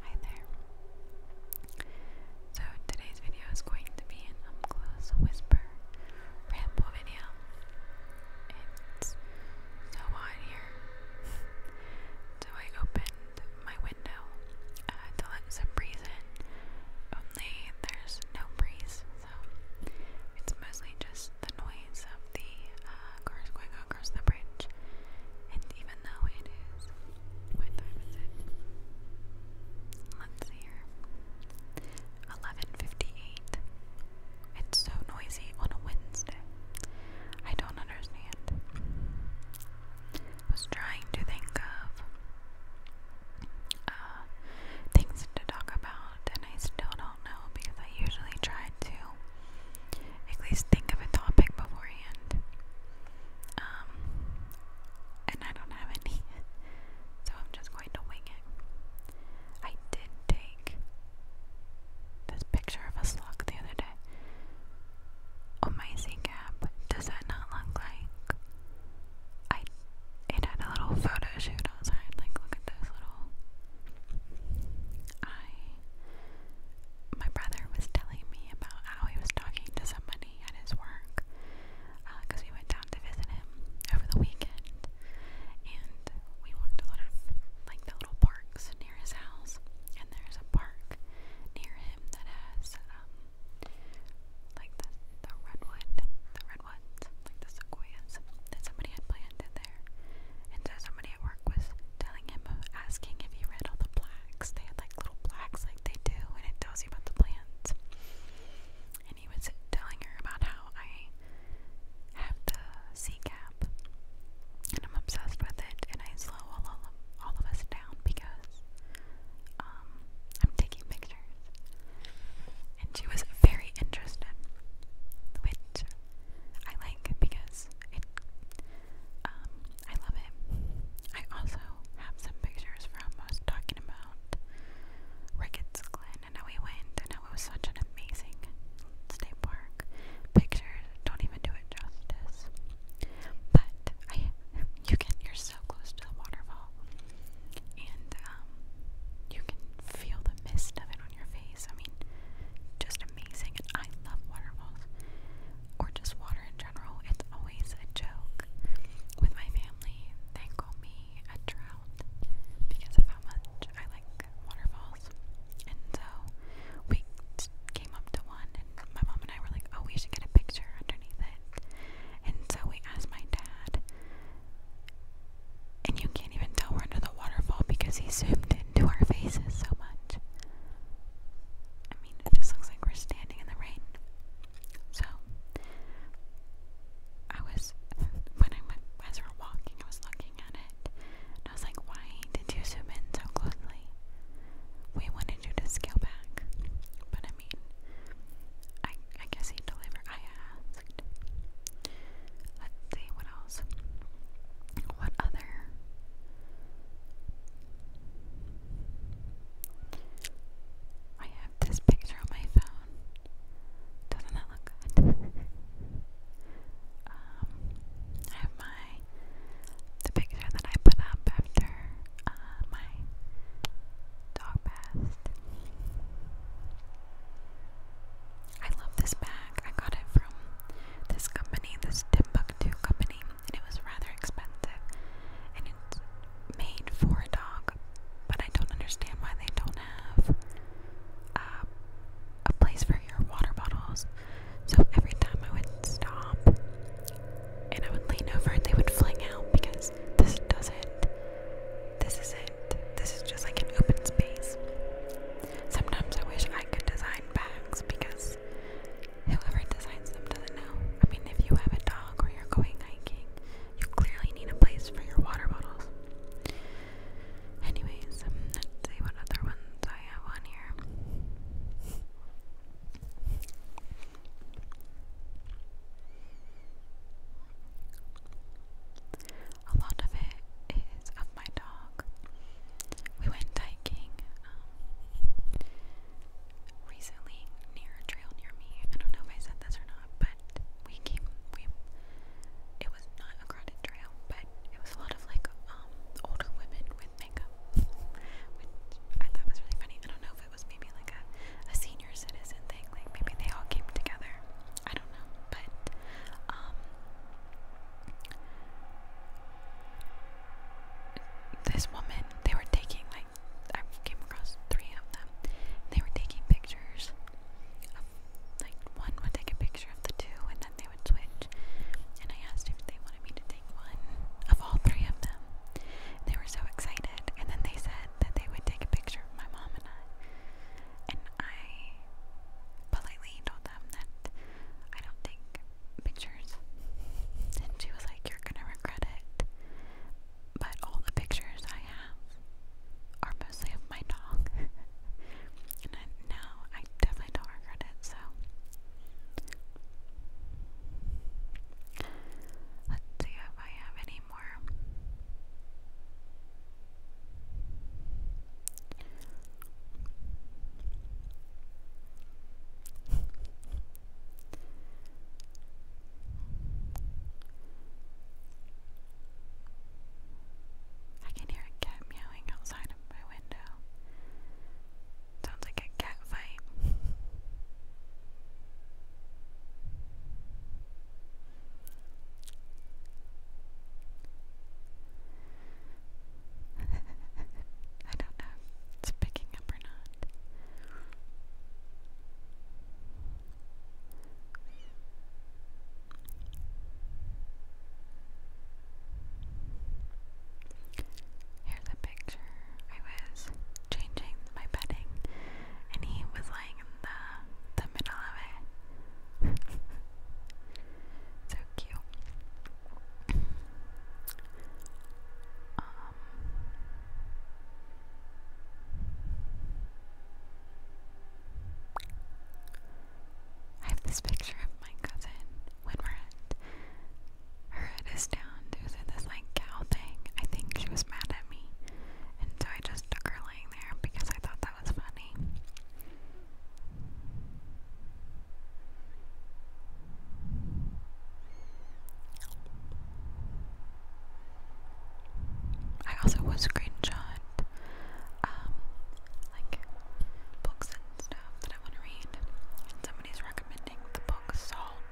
Hi there. So today's video is going to be an up whisper ramble video. It's so hot here. so I opened my window uh, to let some breeze in. Only there's no breeze, so it's mostly just the noise of the uh, cars going across the bridge. And even though it is, what time is it? Let's see here. 11:58. It's so noisy on a Wednesday. I don't understand. was trying to think of uh, things to talk about, and I still don't know because I usually try to at least think of a topic beforehand. Um, and I don't have any, so I'm just going to wing it. I did take this picture of a slug the other day. On oh, my Z cap, does that not look like I? It had a little photo shoot outside. Like, look at those little eye my brother was telling me about how he was talking to somebody at his work because uh, we went down to visit him over the weekend and we walked a lot of like the little parks near his house and there's a park near him that has um like the, the redwood the redwoods like the sequoias that somebody had planted there and so somebody at work was telling him, asking if he read all the plaques. They had like little plaques like they do, and it tells you about the plants. And he was telling her about how I have the C cap, and I'm obsessed with it, and I slow all, all, of, all of us down because um, I'm taking pictures. And she was very interested, which I like because it um, I love it. I also have some pictures from us talking about Ricketts Glen and how we went and how it was such an amazing state park. Pictures don't even do it justice. But I you can you're so close to the waterfall and um you can feel the mist of it on your face. I mean just amazing and I love waterfalls or just water in general, it's always a joke. With my family, they call me a trout because of how much I like waterfalls. And so we came up to one, and my mom and I were like, oh, we should get a picture underneath it. And so we asked my dad, and you can't even tell we're under the waterfall because he zoomed in into our faces so much. I mean, it just looks like we're standing in the rain. So, I was, when I went, as we were walking, I was looking at it, and I was like, why did you zoom in so closely? We wanted you to scale back, but I mean, I, I guess he delivered, I asked. Let's see, what what other? I have this picture on my phone. Doesn't that look good? Um, I have my the picture that I put up after uh, my dog passed. I love this bag. I got it from this company, this Timbuktu company, and it was rather expensive. And it's made for a dog, but I don't understand why they don't have uh, a place for your water bottles. So every time I would stop and I would lean over, they would fling out because this doesn't, this isn't, this is just like an open space. Sometimes I wish I could design bags because because whoever designs them doesn't know. I mean, if you have a dog or you're going hiking, you clearly need a place for your water bottles. Anyways, um, let's see what other ones I have on here. A lot of it is of my dog. We went hiking um, recently near a trail near me. I don't know if I said this or not, but we came. We it was not a crowded trail, but it was a lot of like um, older women with makeup, which I thought was really funny. I don't know if it was maybe like a a senior citizen thing, like maybe they all came together. I don't know, but um, this woman, they were taking like I came across three of them. They were taking pictures of like one would take a picture of the two and then they would switch. And I asked if they wanted me to take one of all three of them. They were so excited and then they said that they would take a picture of my mom and I. And I politely told them that I don't take pictures. And she was like, You're gonna regret it. But all the pictures I have are mostly of my dog. and I, I definitely don't regret it, so. Let's see if I have any more. I can hear a cat meowing outside of my window. Sounds like a cat fight. I don't know it's picking up or not. Here's a picture. I was changing my bedding, and he was lying in the the middle of it. so cute. Um, I have this picture of my cousin when her head is down doing this like cow thing. I think she was mad at me, and so I just took her laying there because I thought that was funny. I also will screenshot um like books and stuff that I want to read. somebody's recommending the book Salt.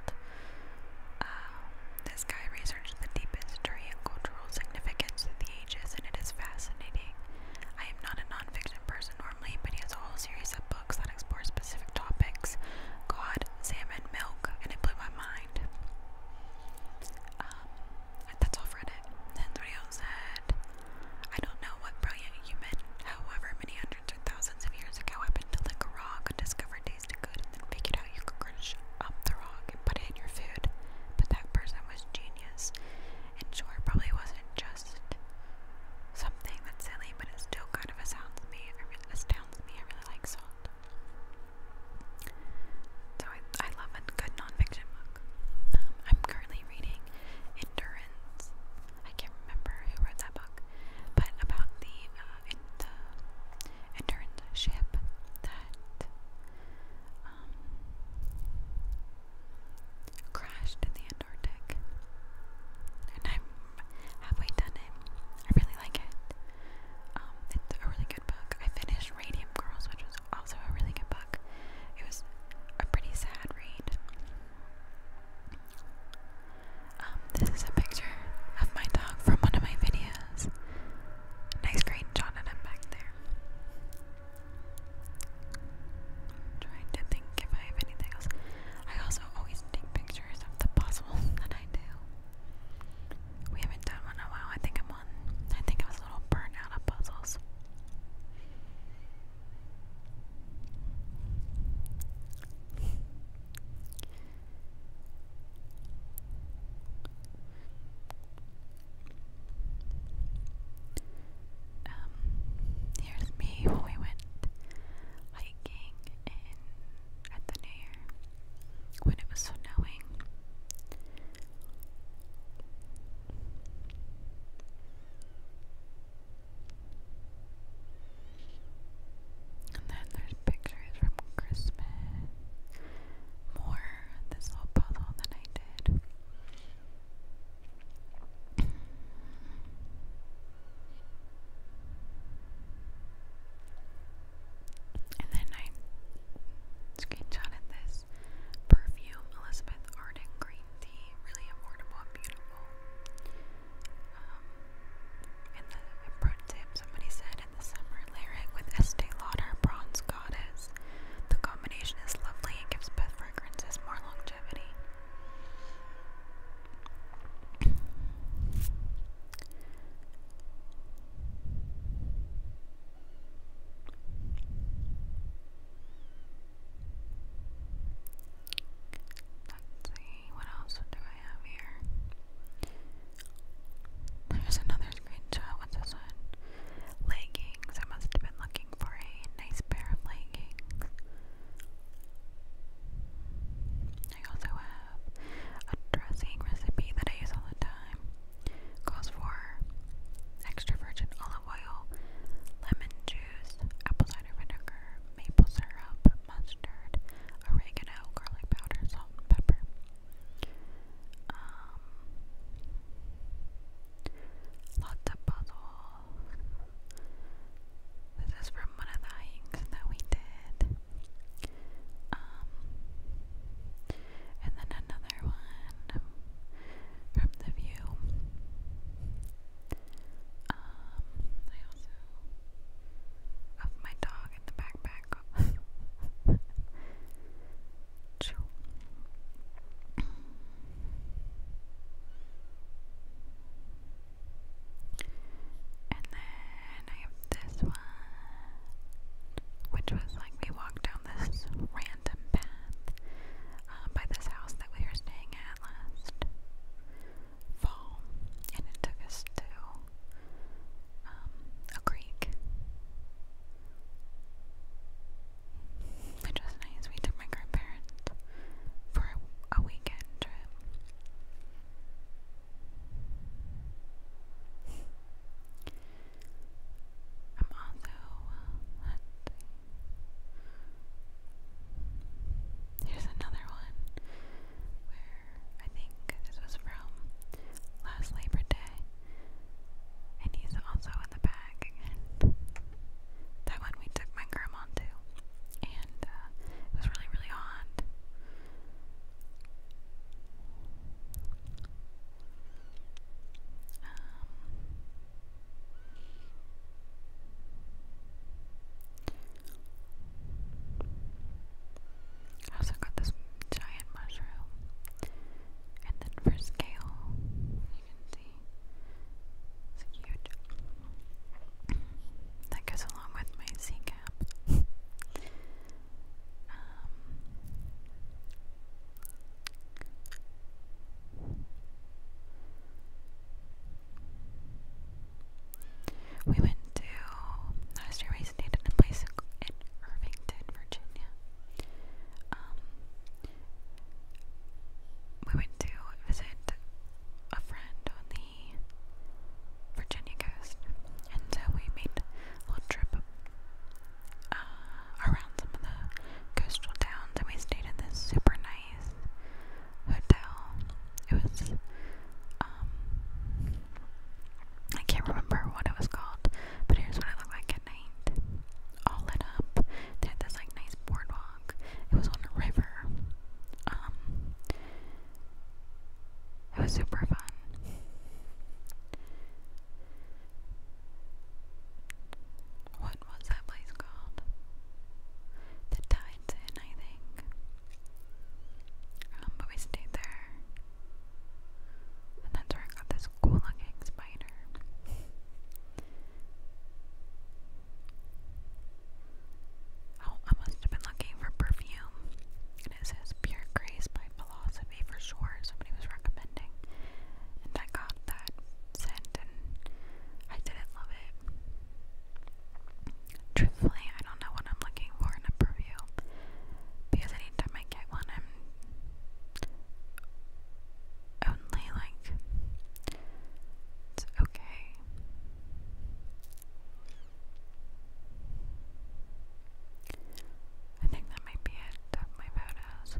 Um, this guy researched the deepest history and cultural significance of the ages and it is fascinating. I am not a nonfiction person warmly, but he has a whole series of books that explore specific topics God, salmon, milk, and it blew my mind. Um, that's all Reddit. Then Rio said, I don't know what brilliant human, however many hundreds or thousands of years ago, happened to lick a rock and discovered tasted good and then figured out you could crunch up the rock and put it in your food. But that person was genius. And sure, probably wasn't just something that's silly, but it still kind of astounds me. It astounds me. I really like salt. So I, love a good nonfiction book. Um, I'm currently reading Endurance. I can't remember who wrote that book, but about the uh, endurance ship that um, crashed in the Antarctic. And I'm halfway done it. I really like it. Um, it's a really good book. I finished Radium Girls, which was also a really good book. It was a pretty sad read. Um, this is a picture of my dog from one of my videos. Nice screenshot, and I'm back there i trying to think if I have anything else. I also always take pictures of the puzzles that I do. We haven't done one in a while. I think I'm on. I think I was a little burnt out of puzzles. Um, here's me when we went hiking at the New Year when it was snowing. And then there's pictures from Christmas. More this little puzzle that I did. And then I screenshotted this perfume, Elizabeth Arden green tea, really affordable and beautiful. and um, the pro tip somebody said in the summer, layer it with Estee Lauder Bronze Goddess. The combination is lovely and gives both fragrances more longevity. Let's see, what else do I have here? There's another screenshot. What's this one? Leggings. I must have been looking for a nice pair of leggings. I also have a dressing recipe that I use all the time. Calls for extra virgin olive oil, lemon juice, apple cider vinegar, maple syrup, mustard, oregano, garlic powder, salt, and pepper. Um, Lots of puzzles. This is from one of the hikes that we did. Um, and then another one from the view. Um, I also of my dog in the backpack. And then I have this one, which was like we walked down this random path uh, by this house that we were staying at last fall, and it took us to um, a creek. Which was nice. We took my grandparents for a weekend trip. I'm also, Here's another one where I think this was from last Labor Day. And he's also in the bag That one we took my grandma to. And uh, it was really, really hot. Um, I also got this giant mushroom. And then for scale, you can cute. That goes along with my C cap. Um, we went to last year we stayed in a place in Irvington, Virginia. Um, we went to visit a friend on the Virginia coast, and so we made a little trip uh, around some of the coastal towns, and we stayed in this super nice hotel. It was, um, I can't remember what it was called, but here's what it looked like all lit up. They had this like nice boardwalk. It was on a river. Um, it was super fun. What was that place called? The Tides Inn, I think. Um, but we stayed there, and that's where I got this cool looking spider. Oh, I must have been looking for perfume. And it Pure Grace by Philosophy for sure. Somebody was recommending. And I got that scent and I didn't love it. Truthfully, I don't know what I'm looking for in a perfume. Because anytime I get one, I'm only like it's okay. I think that might be it of my photos.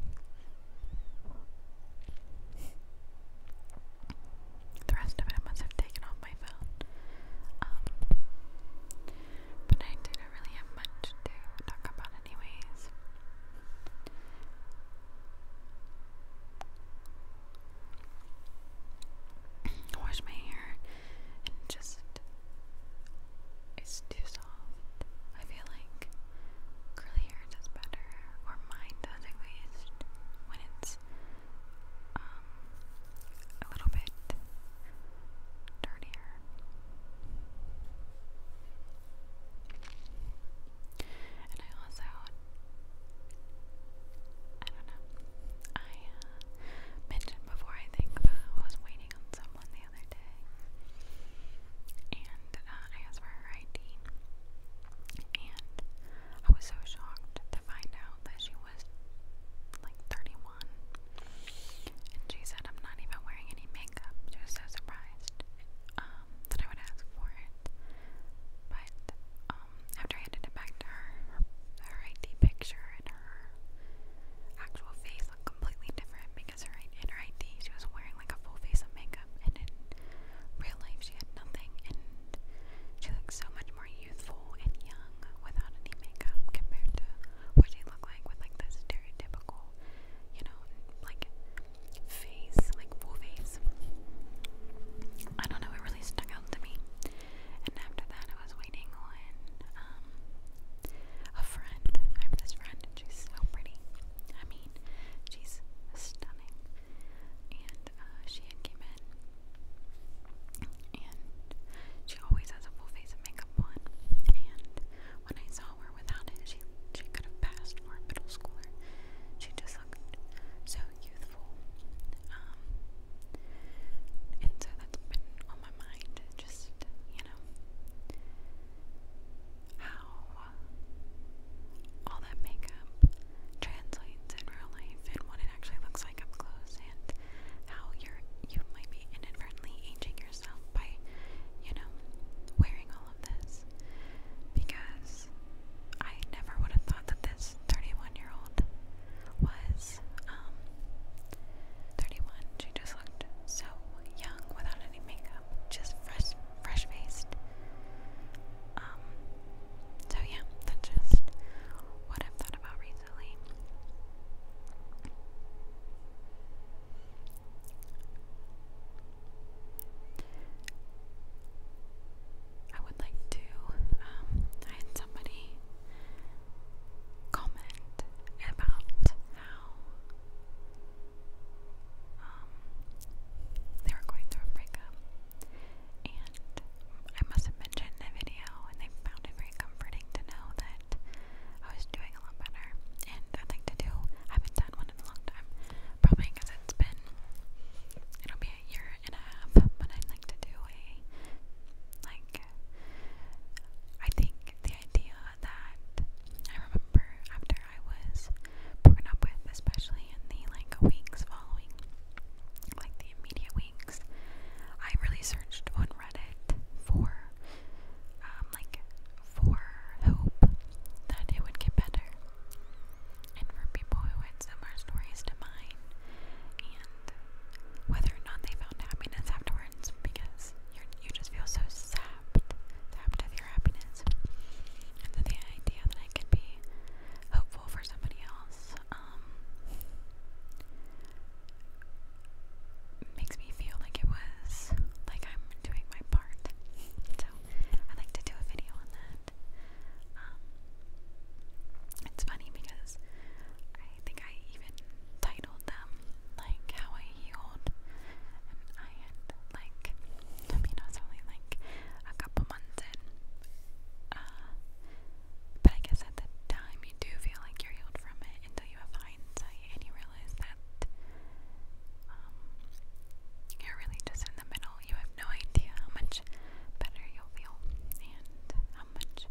The rest of it I must have taken off my phone. Um, but I didn't really have much to talk about anyways. Wash my hair and just it's too soft. I feel like curly hair does better, or mine does at least, when it's um, a little bit dirtier. And I also, I don't know, I uh, mentioned before, I think, uh, was waiting on someone the other day. And uh, I asked for her ID. And I was so shocked to find out that she was like 31. And she said, I'm not even wearing any makeup. She was so surprised um, that I would ask for it. But um, after I handed it back to her, her, ID picture and her actual face looked completely different because her, in ID she was wearing like a full face of makeup, and in real life she had nothing, and she looked so much more youthful and young without any makeup compared to what she looked like with like the stereotypical you know, like face, like full face. I don't know, it really stuck out to me. And after that, I was waiting on um, a friend. I have this friend, and she's so pretty. I mean, she's stunning. And uh, she had came in, and she always has a full face of makeup on. And when I saw her without it. She she could have passed for a middle schooler. She just looked so youthful. Um, and so that's been on my mind. Just you know how all that makeup translates in real life and what it actually looks like up close and how you're you might be inadvertently aging your yourself by, you know, wearing all of this. Because I never would have thought that this 31 year old was um, 31. She just looked so young without any makeup, just fresh, fresh faced. Um, so yeah, that's just what I've thought about recently. I would like to, um, somebody comment about how um, they were going through a breakup, and I must have mentioned in the video, and they found very comforting to know that I was doing a lot better, and I'd like to do. I haven't done one in a long time, probably because it's been. It'll be a year and a half, but I'd like to do a like. I think the idea that I remember after I was broken up with, especially in the like weeks following, like the immediate weeks, I really searched on Reddit for. Uh, um, like for hope that it would get better, and for people who had similar stories to mine, and whether or not they found happiness afterwards, because you you just feel so sapped, sapped of your happiness, and so the idea that I could be hopeful for somebody else, um, makes me feel like it was like I'm doing my part. So I like to do a video on that. Um, it's funny because I think I even titled them like how I healed, and I had like I mean I was only like a couple months in, uh, but I guess at the time you do feel like you're healed from it until you have hindsight and you realize that that. Um, you're really just in the middle. You have no idea how much better you'll feel and how much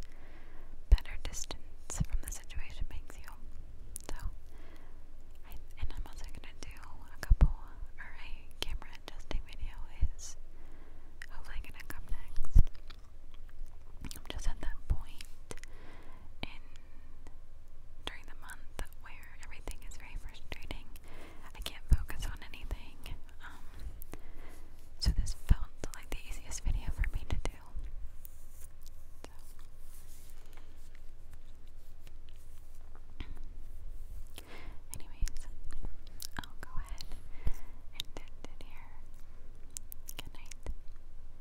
better distance from the situation makes you. So, and I'm also gonna do a couple, or camera adjusting video is hopefully gonna come next. I'm just at that point in during the month where everything is very frustrating. I can't focus on anything. Um, so this felt like the easiest video for me to do. Anyways, I'll go ahead and end it here. Good night.